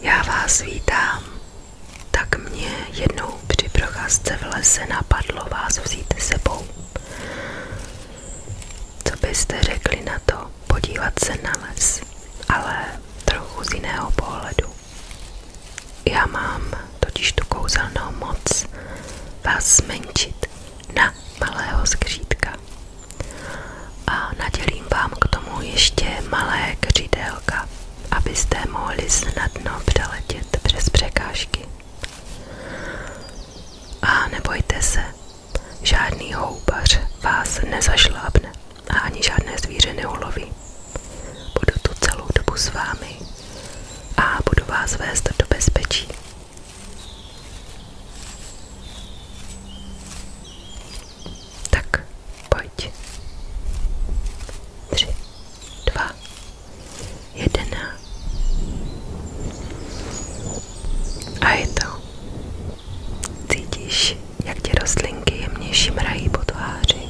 Já vás vítám. Tak mě jednou při procházce v lese napadlo vás vzít sebou. Co byste řekli na to podívat se na les, ale trochu z jiného pohledu. Já mám totiž tu kouzelnou moc vás zmenšit na malého skřítka. A nadělím vám k tomu ještě malé křídelka, abyste mohli snadno přeletět přes překážky. A nebojte se, žádný houbař vás nezašlápne a ani žádné zvíře neuloví. Budu tu celou dobu s vámi a budu vás vést do bezpečí. Tak pojď. Tři, dva, jedna. A je to. Cítíš, jak ti rostlinky jemnější mrají po tváři.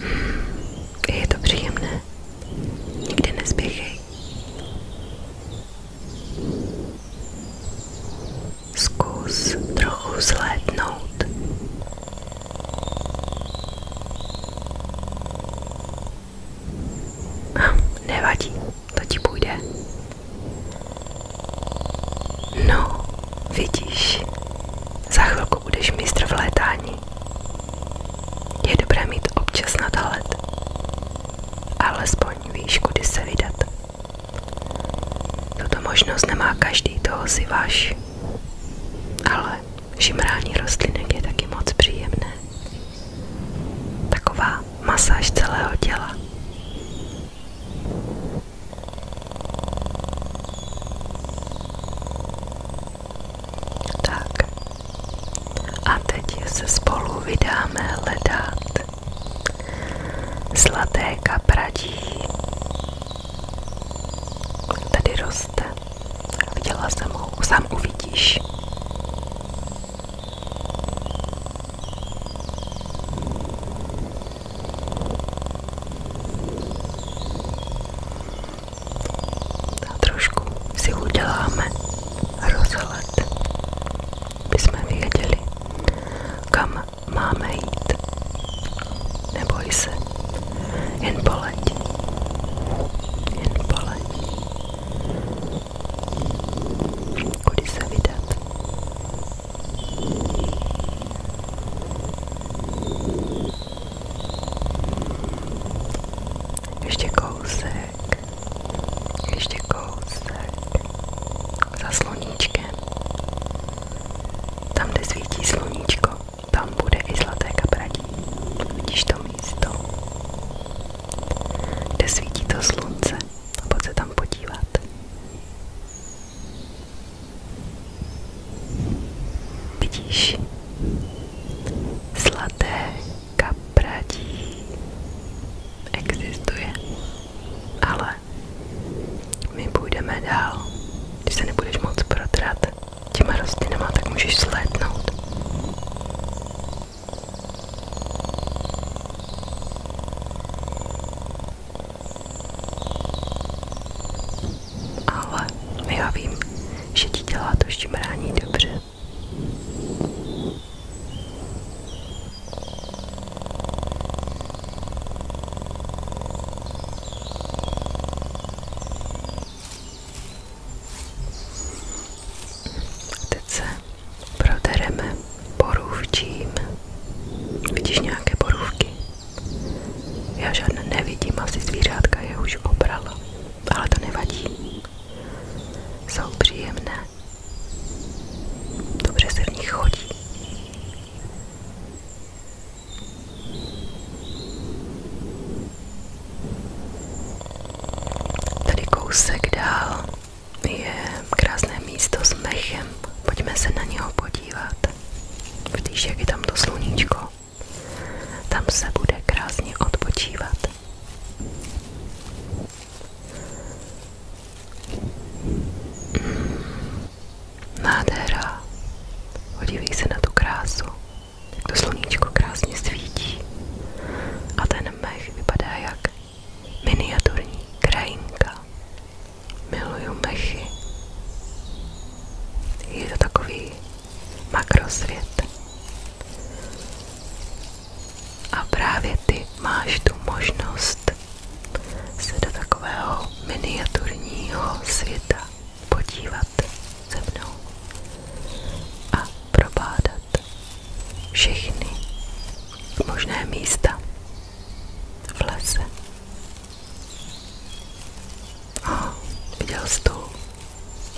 Hmm, je to příjemné. Nikdy nezběhej. Zkus trochu zhlédnout. Hm, nevadí, to ti půjde. No, vidíš, za chvilku budeš mistr v létání. Je dobré mít občas nadhled, alespoň víš, kudy se vydat. Tuto možnost nemá každý, toho si váš. Ale žimrání rostlinek je taky moc příjemné. Taková masáž celého těla. Tak. A teď se spolu vydáme hledat Zlaté kapradí tady roste. Viděla jsem ho, sám uvidíš. A trošku si uděláme rozhled by jsme kam máme jít. Neboj se, jen poleď, jen poleď. Kudy se vydat? Ještě kousek ještě kousek za sluníčkem. Tam, kde svítí sluníčko, tam bude i zlaté kapradí. Vidíš to místo, kde svítí to slunce a pojď se tam podívat. Vidíš zlaté kapradí existuje. Ale my půjdeme dál. Když se nebudeš moc protrat těma rostlinama, tak můžeš slétnout. Ale já vím, že ti dělá to brání dobře. Teď se borůvčím. Vidíš nějaké borůvky? Já nevidím, asi zvířátka je už obrala, ale to nevadí. Jsou příjemné. Dobře se v nich chodí. Tady kousek dál je krásné místo s mechem. Pojďme se na něho podívat. Vidíš, jak je tam to sluníčko. Tam se bude krásně odpočívat. Nádhera. Podívej se na tu krásu. Jak to sluníčko krásně svítí. A ten mech vypadá jak miniaturní krajinka. Miluju mechy. Je to takový makrosvět. A právě ty máš tu možnost se do takového miniaturního světa podívat se mnou a probádat všechny možné místa v lese. A viděl jsi tu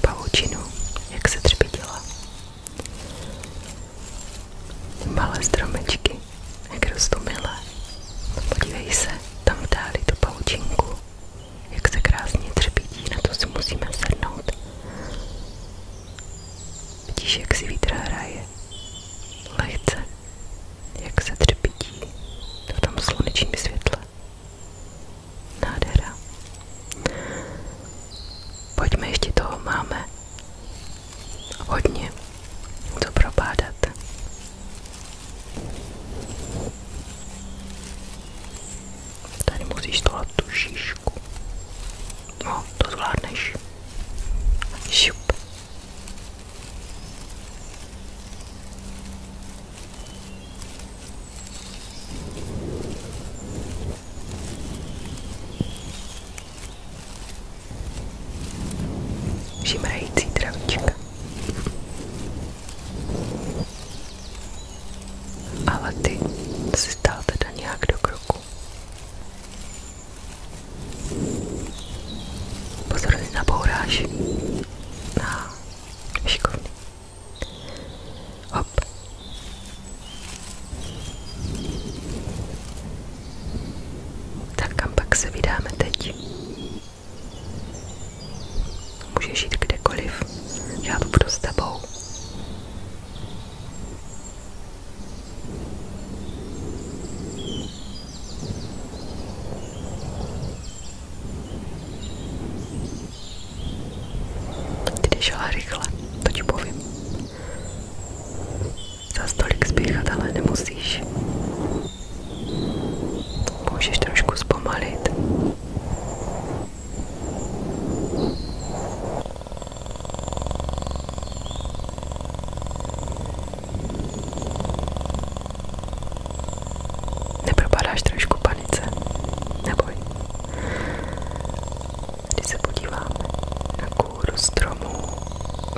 pavučinu, jak se třpitila. Malé stromečky, jak rostou milé. Podívej se, tam dáli tu paučinku, jak se krásně třepítí, na to si musíme sednout. Vidíš, jak si vítr hraje. Lehce, jak se třepítí v tom slunečním světle. Nádhera. Pojďme, ještě toho máme. Hodně. To propádat. Tady musíš tohle tu šíšku. No, to zvládneš. Šup. Žimrající travička. Ale ty si stál teda nějak do kroku. Pozor, nabouráš na šikovný. Hop. Tak kam pak se vydáme teď? Můžeš jít kdekoliv, já tu budu s tebou. Když šla rychle, to ti povím. Za stolik spěchat ale nemusíš. Můžeš trošku zpomalit. Nepropadáš trošku panice? Neboj. Když se podíváme na kůru stromu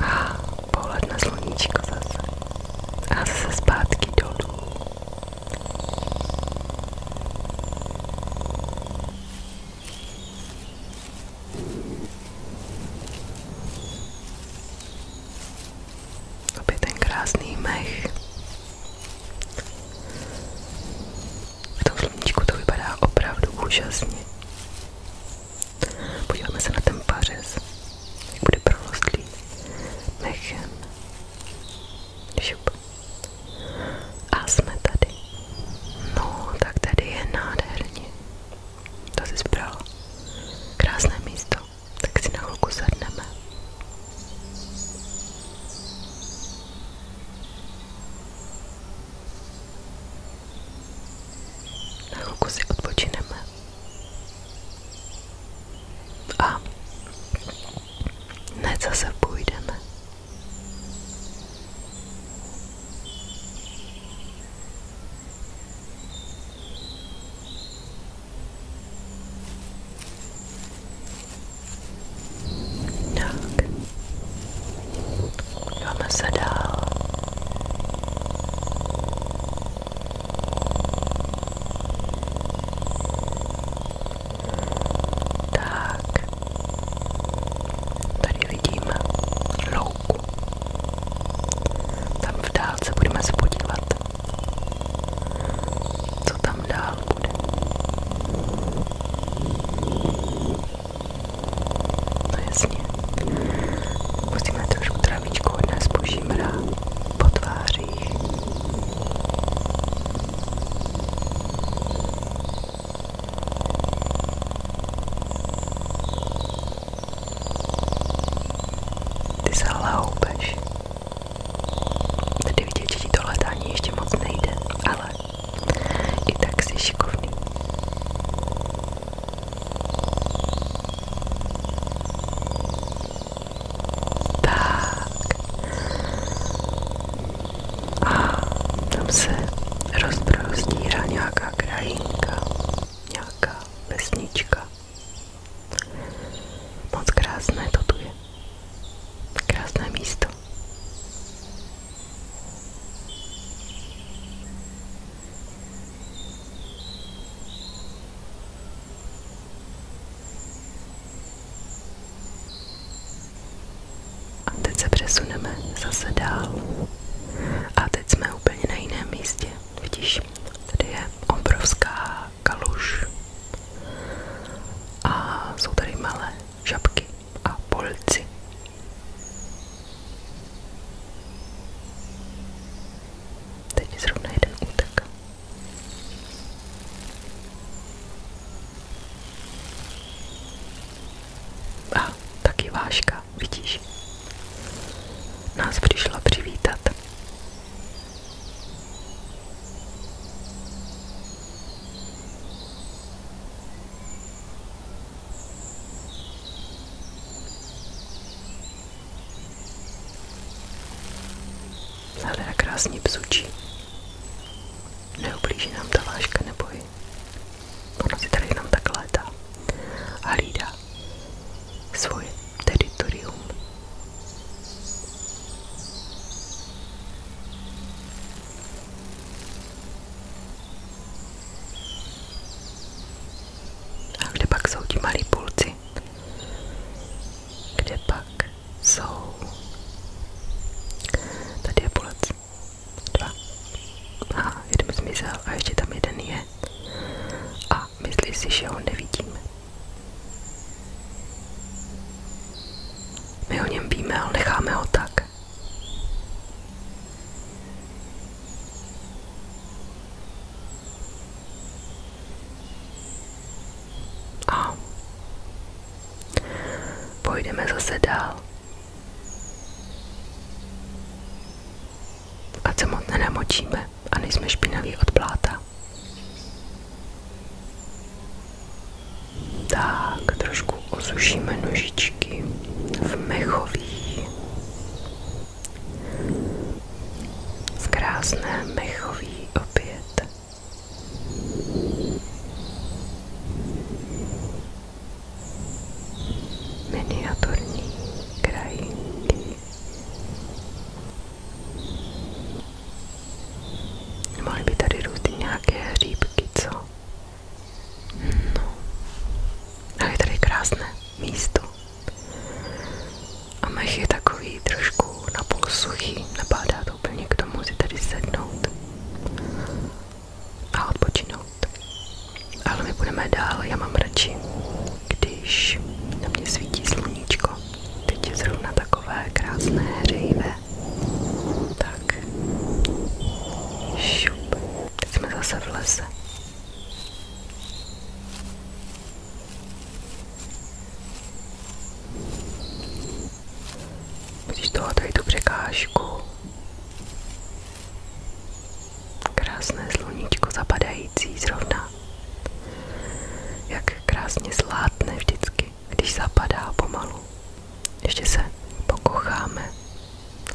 a pohled na sluníčko zase a zase zpátky dolů. Opět ten krásný mech. V tom sluníčku to vypadá opravdu úžasně. Podíváme se na ten pařez, jak bude prorostlý mechem. Šup. A jsme tady. No, tak tady je nádherně. To jsi zbral. Krásné místo. Tak si na chvilku sedneme. Na chvilku si odpočineme. A hned zase půjdeme. Tak. Dáme se dál. Tak. Tady vidíme louku. Tam v dálce budeme se podívat. Co tam dál loud. No jasně. Musíme trošku travičku od nás požímra po tvářích. Ty se hloubeš. Tady vidět, že ti to hledání ještě moc nejde, ale i tak jsi šikovný. Tak. A tam se rozprostírá nějaká krajinka, nějaká vesnička. Moc krásné to tu je. Krásné místo. A teď se přesuneme zase dál. A teď jsme úplně na jiném místě. Vidíš, tady je obrovská kaluž. A jsou tady malé žabky a polci. Teď zrovna jeden útek. A taky váška, vidíš? Nás přišla přivítat. Zahleda krásně psučí. Neublíží nám ta váška nebojí. Ona si tady jenom tak létá a hlídá svoje teritorium. A kde pak jsou ti malí půlci? Kde pak jsou? Tady je půlec. Dva. Aha, jeden zmizel a ještě tam jeden je. A myslíš si, že ho nevidíme? My o něm víme, ale necháme ho tak. A pojdeme zase dál. Ať se moc nenamočíme a nejsme špinaví od pláta. Tak, trošku osušíme nožičky v mechový, v krásné mechový opět. Miniaturní krajinky Mohly by tady růst i nějaké No. tady krásné místo. A mech je takový trošku napůl suchý, napádá to úplně k tomu tady sednout a odpočinout. Ale my budeme dál, já mám radši, když na mě svítí sluníčko teď je zrovna takové krásné Tak. Šup. Teď jsme zase v lese. Vidíš toho tu překážku. Krásné sluníčko zapadající zrovna. Jak krásně zlátne vždycky hezky, když zapadá pomalu. Ještě se pokocháme,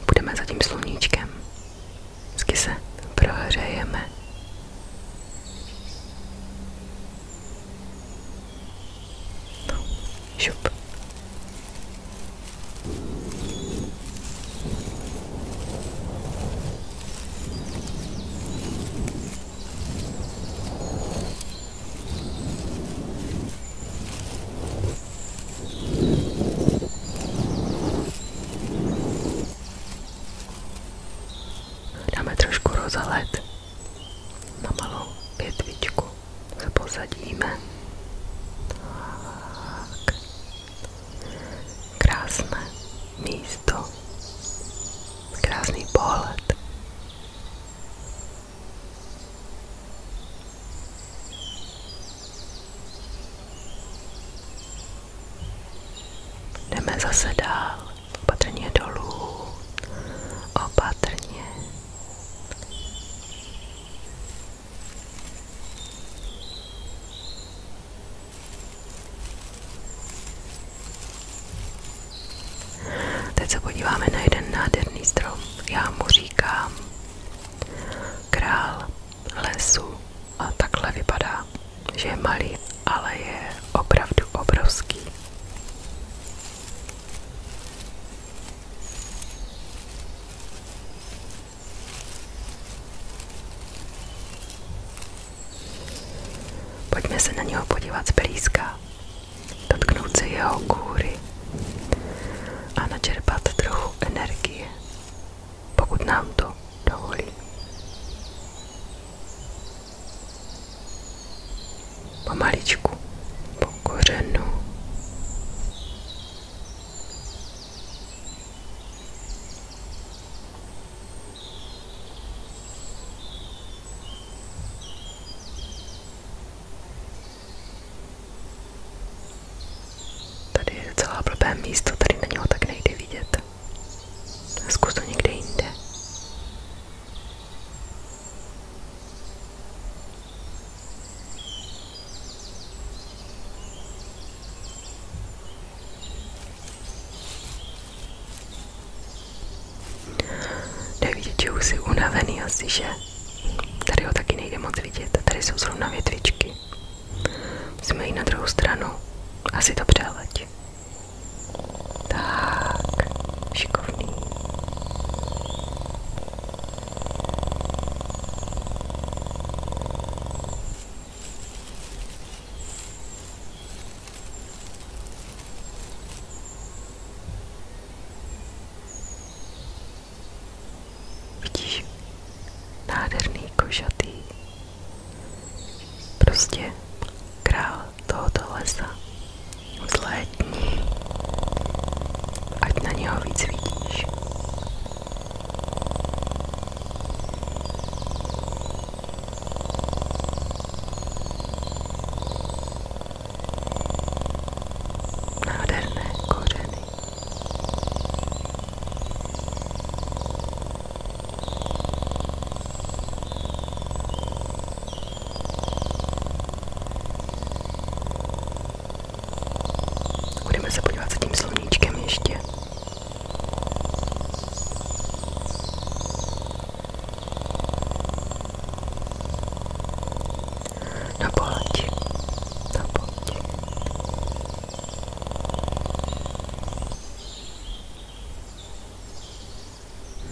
budeme za tím sluníčkem, hezky se prohřejeme. No, šup. Dáme trošku rozalet na malou větvičku, se posadíme. Tak. Krásné místo krásný pohled. Jdeme zase dál, opatrně dolů, opatrně. Teď se podíváme na jeden nádherný strom. Já mu říkám král lesu a takhle vypadá, že je malý, ale je opravdu obrovský. Pojďme se na něho podívat zblízka, dotknout se jeho kůry a načerpat trochu energie, pokud nám to dovolí. Pomaličku, po kořenu. Tady je celá blbé místo, tady na něho tak nejde vidět. Zkus to někde jinde. Jde vidět, že už jsi unavený asi, že? Tady ho taky nejde moc vidět, tady jsou zrovna větvičky. Musíme jít na druhou stranu, asi to přeleď. Tak, šikovný. Vidíš? Nádherný košatý. Prostě král tohoto lesa. Vzlétni. Ať na něho víc vidíš nádherné kořeny. Budeme se podívat za tím sluníčkem ještě. Na poloti, na poloti.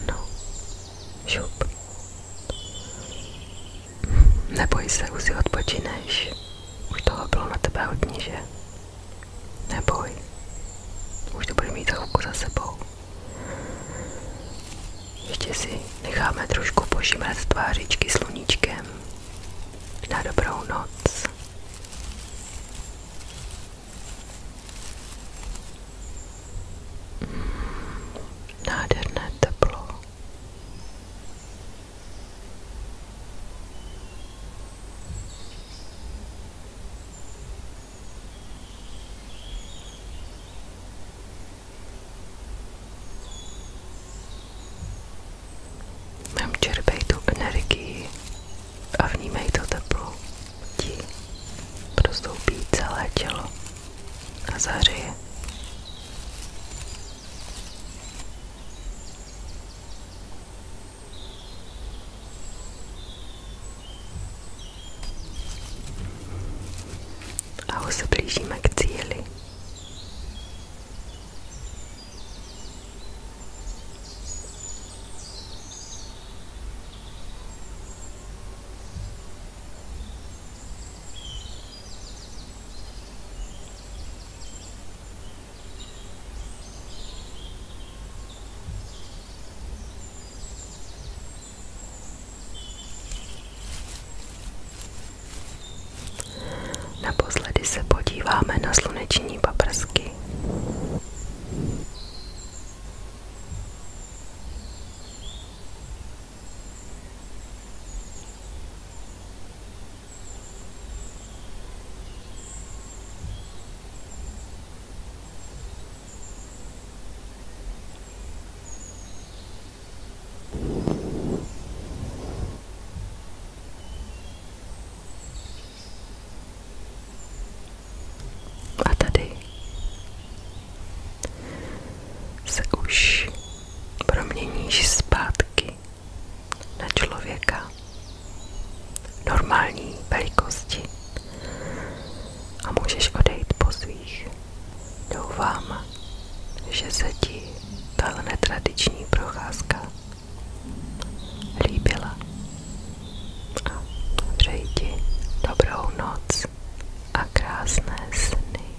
No, šup. Neboj se, už si odpočineš. Už toho bylo na tebe hodně, že? Neboj, už to budeš mít za chvilku za sebou. Ještě si necháme trošku požímat tvářičky sluníčkem. Na dobrou noc. Hmm, nádherné teplo. Mám čerpej tu energii a vnímej to teplo. Ti prostoupí celé tělo a zahřeje. A už se blížíme k cíli. Naposledy se podíváme na sluneční paprsky. A tady se už proměníš zpátky na člověka normální velikosti a můžeš odejít po svých. Doufám, že se ti tahle netradiční procházka líbila. A přeji ti dobrou noc a krásné sny.